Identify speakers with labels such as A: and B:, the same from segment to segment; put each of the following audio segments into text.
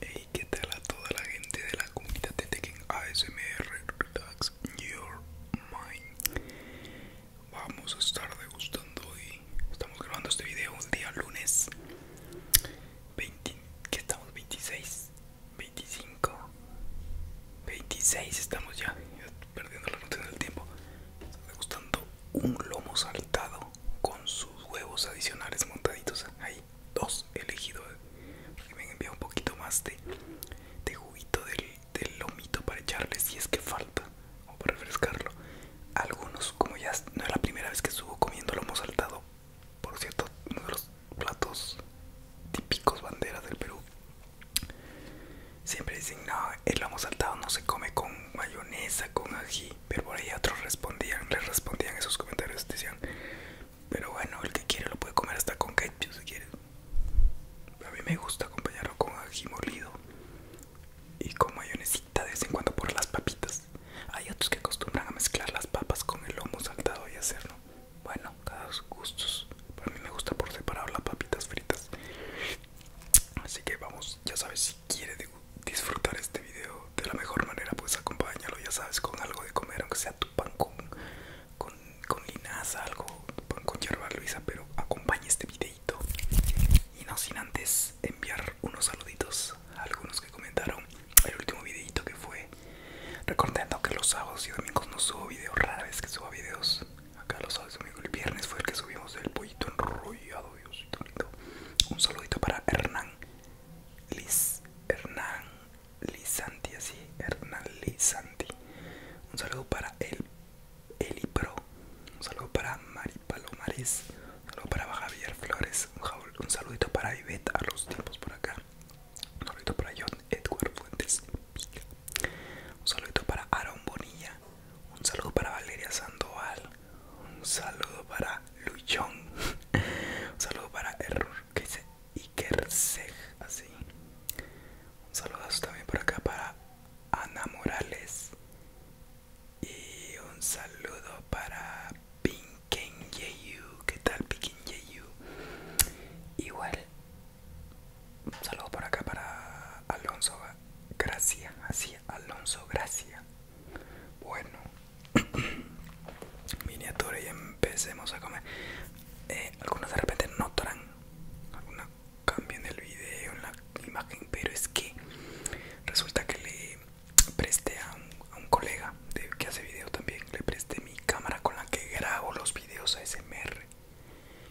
A: Hey, ¿qué tal a toda la gente de la comunidad de Tekken ASMR? Relax your mind vamos a estar degustando y estamos grabando este video un día lunes ¿Qué que estamos 26 25 26 estamos ya, perdiendo la noción del tiempo estamos degustando un lomo saltado con sus huevos adicionales montaditos Hay dos elegidos, porque me han un poquito más de, de juguito del del lomito para echarle si es que falta o para refrescarlo. Algunos, como ya no es la primera vez que estuvo comiendo lomo saltado, por cierto, uno de los platos típicos banderas del Perú. Siempre dicen, no, el lomo saltado no se come con mayonesa, con ají. Pero por ahí otros respondían, les respondían esos comentarios, decían, pero bueno, el que quiere lo puede comer hasta con ketchup si quiere a mí me gusta acompañarlo con ají molido y con mayonesita de vez en cuando por las papitas. Hay otros que acostumbran a mezclar las papas con el lomo saltado y hacerlo. Bueno, cada sus gustos. A mí me gusta por separado las papitas fritas. Así que vamos, ya sabes, si quieres disfrutar este video de la mejor manera, pues acompáñalo, ya sabes, con algo de comer, aunque sea tu pan con con, con linaza, algo con yerba luisa, pero acompañe este videito. Y no sin antes enviar unos saluditos a algunos que comentaron el último videito que fue. Recordando que los sábados y domingos no subo videos, rara vez que suba videos. Acá los sábados y domingos, el viernes fue el que subimos el pollito enrollado, Diosito lindo. Un saludito para Hernán Liz, Hernán Lizanti, así, Hernán Lizanti. Un saludo para el Eli Pro. Un saludo para Mari Palomares. Un saludo para Javier Flores. Un, saludito para Ivette a los tiempos por acá. Un saludito para John Edward Fuentes. Un saludito para Aaron Bonilla. Un saludo para Valeria Sandoval. Un saludo para Luchón. Un saludo para Error ¿Qué dice Iker así. Un saludazo también por acá para Ana Morales. Y un saludo para Pinken Yeyu. ¿Qué tal Pinken Yeyu? Igual. Un saludo por acá para Alonso Gracia. Así, Alonso Gracia. Bueno. Miniatura y empecemos a comer. Eh, algunas algunos de repente notarán, cambio en el video en la imagen, pero es que resulta que le presté a un, colega que hace video también, le presté mi cámara con la que grabo los videos ASMR.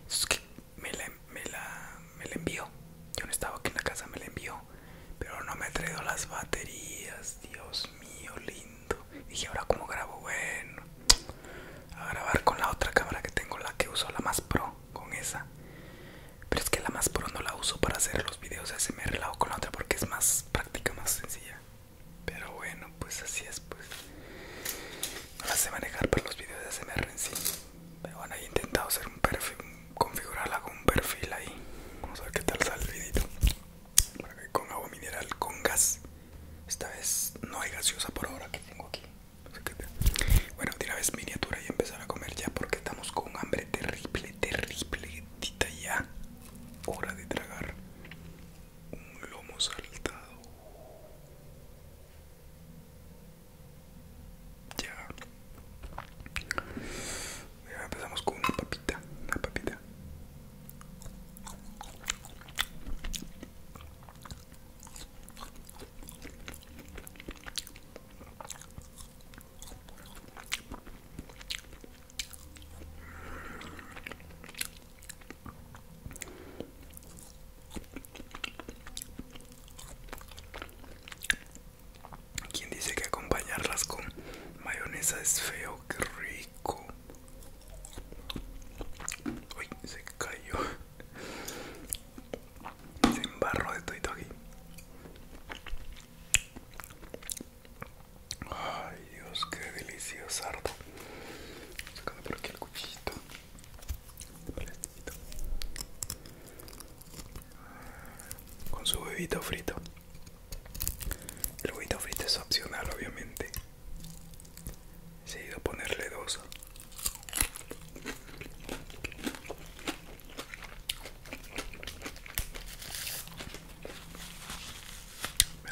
A: Es que me la, me, me envió, yo no estaba aquí en la casa, me la envió, pero no me ha las baterías, Dios mío, lindo. Y Dije, ahora como grabo, bueno, a grabar con la otra cámara que tengo, la que uso, la más pro, con esa. Pero es que la más pro no la uso para hacer los videos, de SMR, la hago con la otra porque es más práctica, más sencilla. Pero bueno, pues así es, pues. No la sé manejar para los videos de ASMR en sí. Pero bueno, he intentado hacer un perfil, configurarla con un perfil ahí. Vamos a ver qué tal sale el vidito con agua mineral, con gas esta vez no hay gaseosa por ahora que tengo aquí. Bueno, tira vez miniatura y empezar a comer ya porque estamos con hambre terrible, terrible. Tita ya. Hora de tragar un lomo saltado. Ya. empezamos con una papita. Una papita. ¿Quién dice que acompañarlas con mayonesa es feo? ¡Qué rico! Uy, se cayó. Se embarró de todo aquí. Ay, Dios, qué delicioso harto. Sacando por aquí el cuchillito. Con su bebito frito. El Windows frito es opcional, obviamente. Se a ponerle dos. Me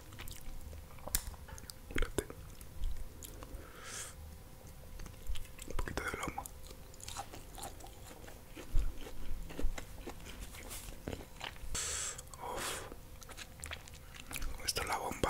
A: Un poquito de lomo. Uf. Esta es la bomba.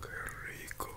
A: Qué rico.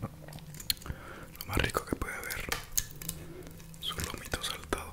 A: Lo más rico que puede haber, su lomito saltado.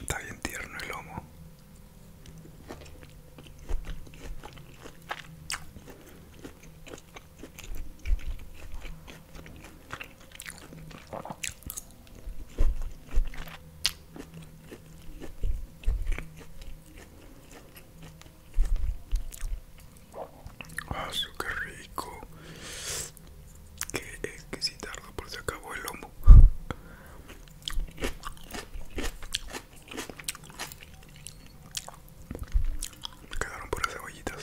A: Está bien tierno el lomo. Ah, su qué rico que es si tardo por se acabó el lomo me quedaron puras cebollitas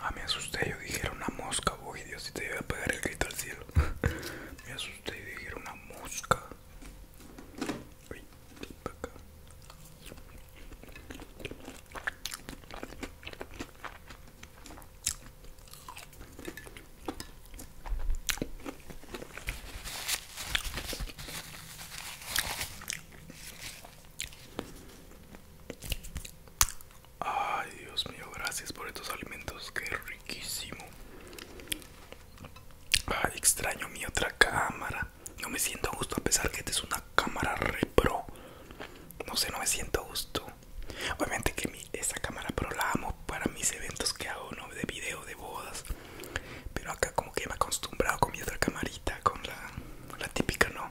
A: Ah, me asusté, yo dije una mosca, voy Dios, y te iba a pegar el grito al cielo. me asusté y dije una mosca. Ay, Dios mío, gracias por estos alimentos, que riquísimo. Ay, extraño mi otra cámara. No me siento a gusto a pesar que esta es una cámara repro. No sé, no me siento a gusto. Obviamente que mi, esa cámara pro la amo para mis eventos que hago, ¿no? De video, de bodas. Pero acá como que me he acostumbrado con mi otra camarita, con la típica, ¿no?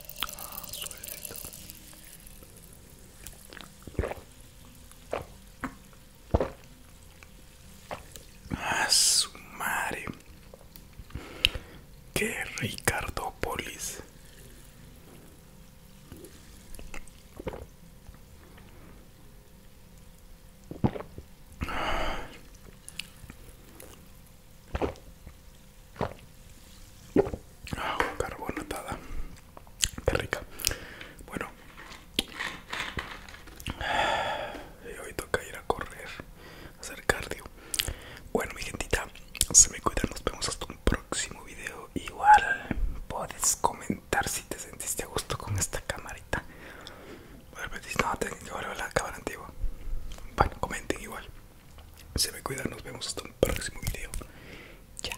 A: Ah, su madre. Qué ricardópolis. Ah, carbonatada. Qué rica. Bueno. Y hoy toca ir a correr, hacer cardio. Bueno, mi gentita, se me cuidan. Nos vemos hasta un próximo video. Igual puedes comentar si te sentiste a gusto con esta camarita. Pues, no, tengo que cámara antigua. Bueno, comenten igual. Se me cuidan, nos vemos hasta el próximo video. Chao.